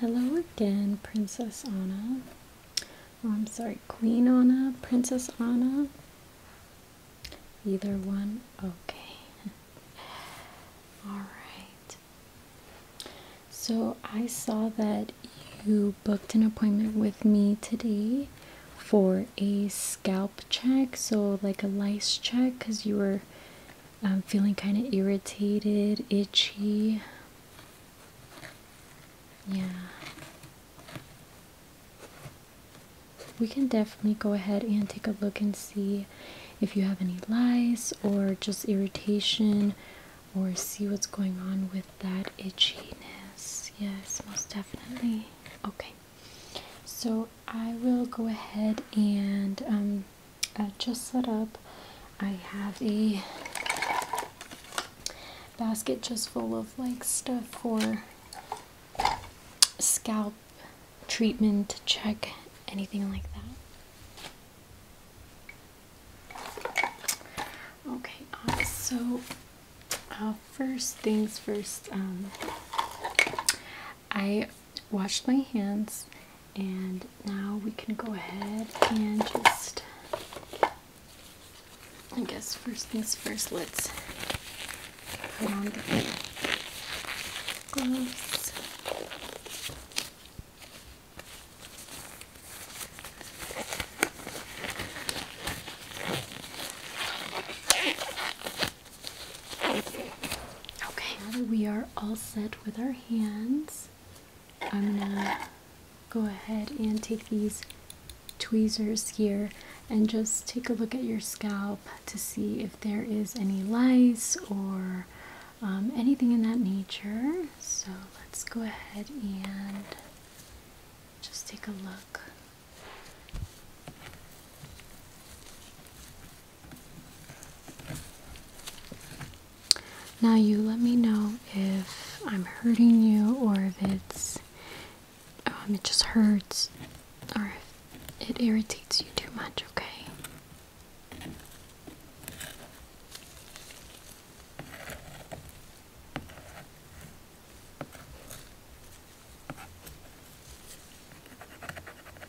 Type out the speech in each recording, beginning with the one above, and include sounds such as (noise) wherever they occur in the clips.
Hello again, Princess Anna. Oh, I'm sorry, Queen Anna, Princess Anna. Either one, okay. (laughs) All right. So I saw that you booked an appointment with me today for a scalp check, so like a lice check, because you were I'm feeling kind of irritated, itchy. Yeah. We can definitely go ahead and take a look and see if you have any lice or just irritation or see what's going on with that itchiness. Yes, most definitely. Okay. So I will go ahead and um, uh, just set up. I have a basket just full of like stuff for scalp treatment check, anything like that. Okay, uh, so uh, first things first, um, I washed my hands and now we can go ahead and just I guess first things first let's put on the gloves Okay, we are all set with our hands I'm gonna go ahead and take these tweezers here and just take a look at your scalp to see if there is any lice or um, anything in that nature. So let's go ahead and just take a look. Now, you let me know if I'm hurting you or if it's um, it just hurts or if it irritates you too much, okay?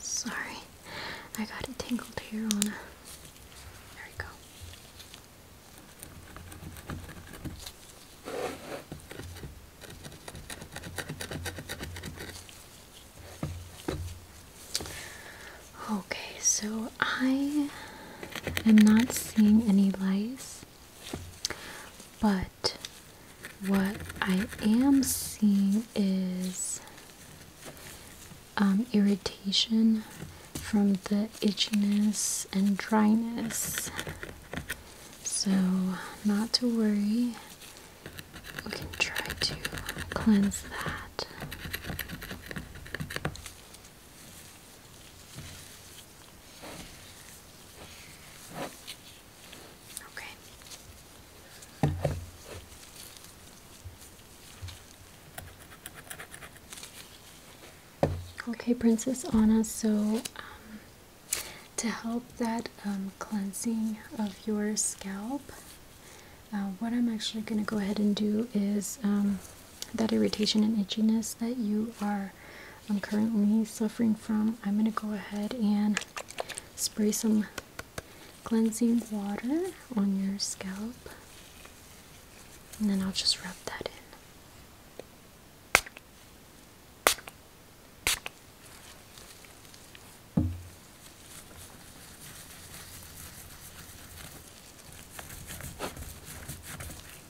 Sorry, I got it tangled here on There we go. Okay, so I am not seeing any lice. But what I am seeing is um, irritation from the itchiness and dryness. So, not to worry, we can try to cleanse that. Okay. Okay, Princess Anna, so um, to help that um, cleansing of your scalp, uh, what I'm actually going to go ahead and do is um, that irritation and itchiness that you are I'm currently suffering from, I'm going to go ahead and spray some cleansing water on your scalp. And then I'll just rub that in.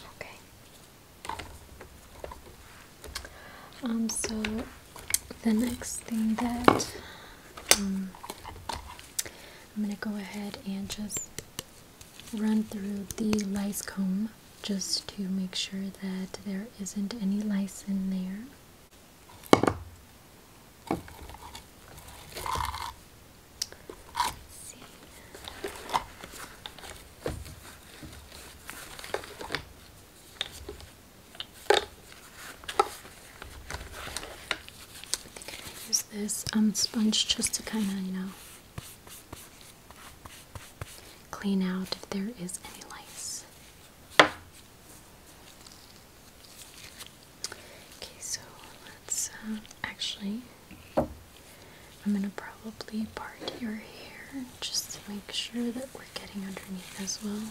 Okay. Um, so the next thing that um, I'm going to go ahead and just run through the lice comb just to make sure that there isn't any lice in there. I think I'm gonna use this um sponge just to kind of you know clean out if there is any lice. Okay, so let's um, actually, I'm gonna probably part your hair just to make sure that we're getting underneath as well.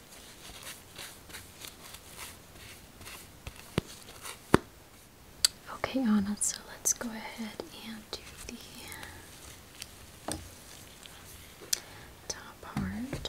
Okay, Anna, so let's go ahead and do the top part.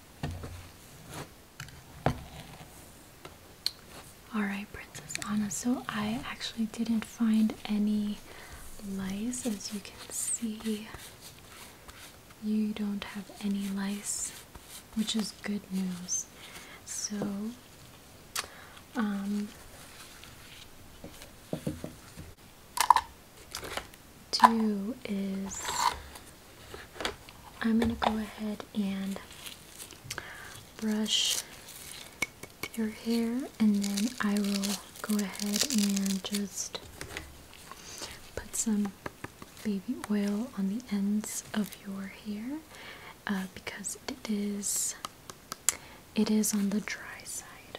Alright, Princess Anna. So, I actually didn't find any lice. As you can see, you don't have any lice, which is good news. So, um, do is I'm going to go ahead and brush your hair and then I will go ahead and just put some baby oil on the ends of your hair uh, because it is it is on the dry side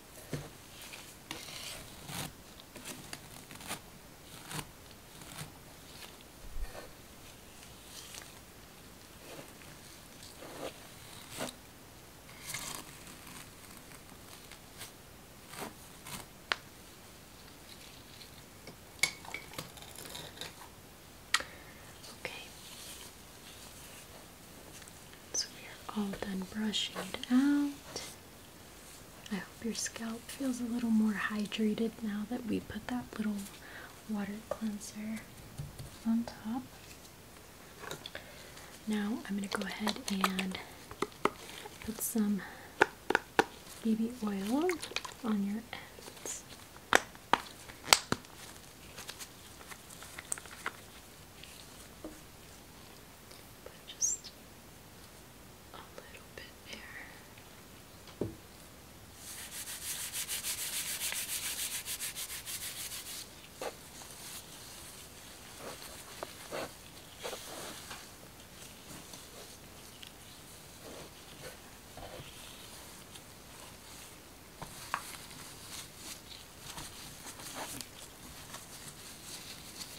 Okay. So we are all done brushing it out. I hope your scalp feels a little more hydrated now that we put that little water cleanser on top. Now I'm going to go ahead and put some baby oil on your ends but just a little bit there.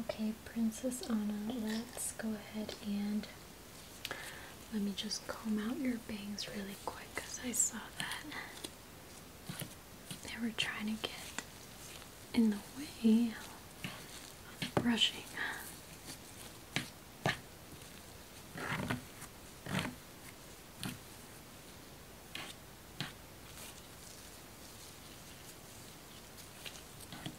Okay, Princess Anna, let's go ahead and let me just comb out your bangs really quick because I saw that they were trying to get in the way of the brushing.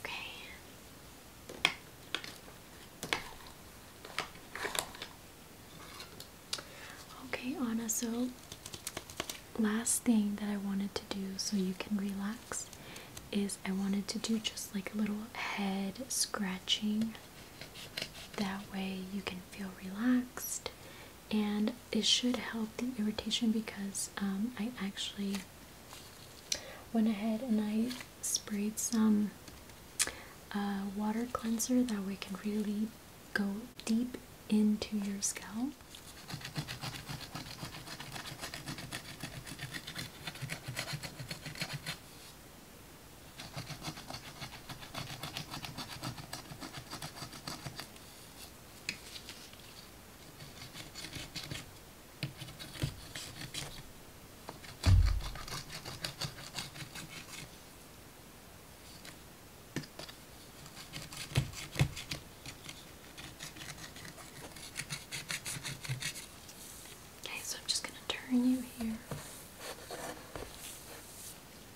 Okay. Okay, Anna, so last thing that I wanted to do so you can relax is I wanted to do just like a little head scratching that way you can feel relaxed and it should help the irritation because um, I actually went ahead and I sprayed some uh, water cleanser that way can really go deep into your scalp. Okay, so I'm just going to turn you here.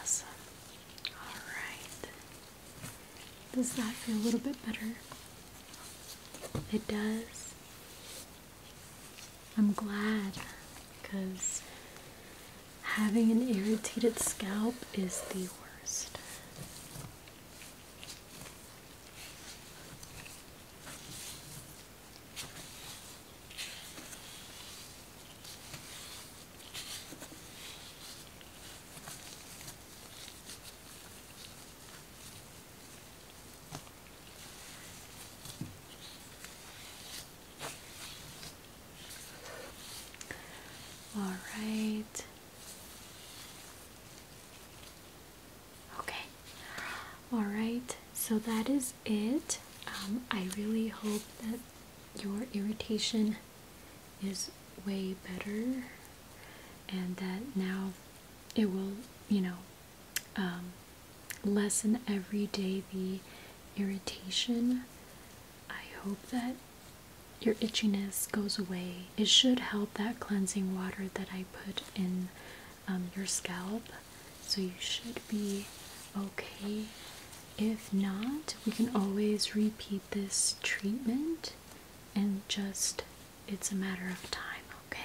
Awesome. All right. Does that feel a little bit better? It does. I'm glad because having an irritated scalp is the worst. All right. Okay. All right. So that is it. Um, I really hope that your irritation is way better and that now it will, you know, um, lessen every day the irritation. I hope that your itchiness goes away. It should help that cleansing water that I put in um, your scalp. So you should be okay. If not, we can always repeat this treatment and just it's a matter of time, Okay.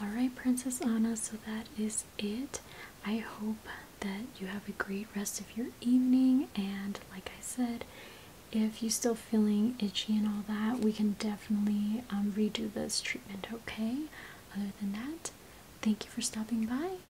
All right, Princess Anna, so that is it. I hope that you have a great rest of your evening. And like I said, if you're still feeling itchy and all that, we can definitely um, redo this treatment, okay? Other than that, thank you for stopping by.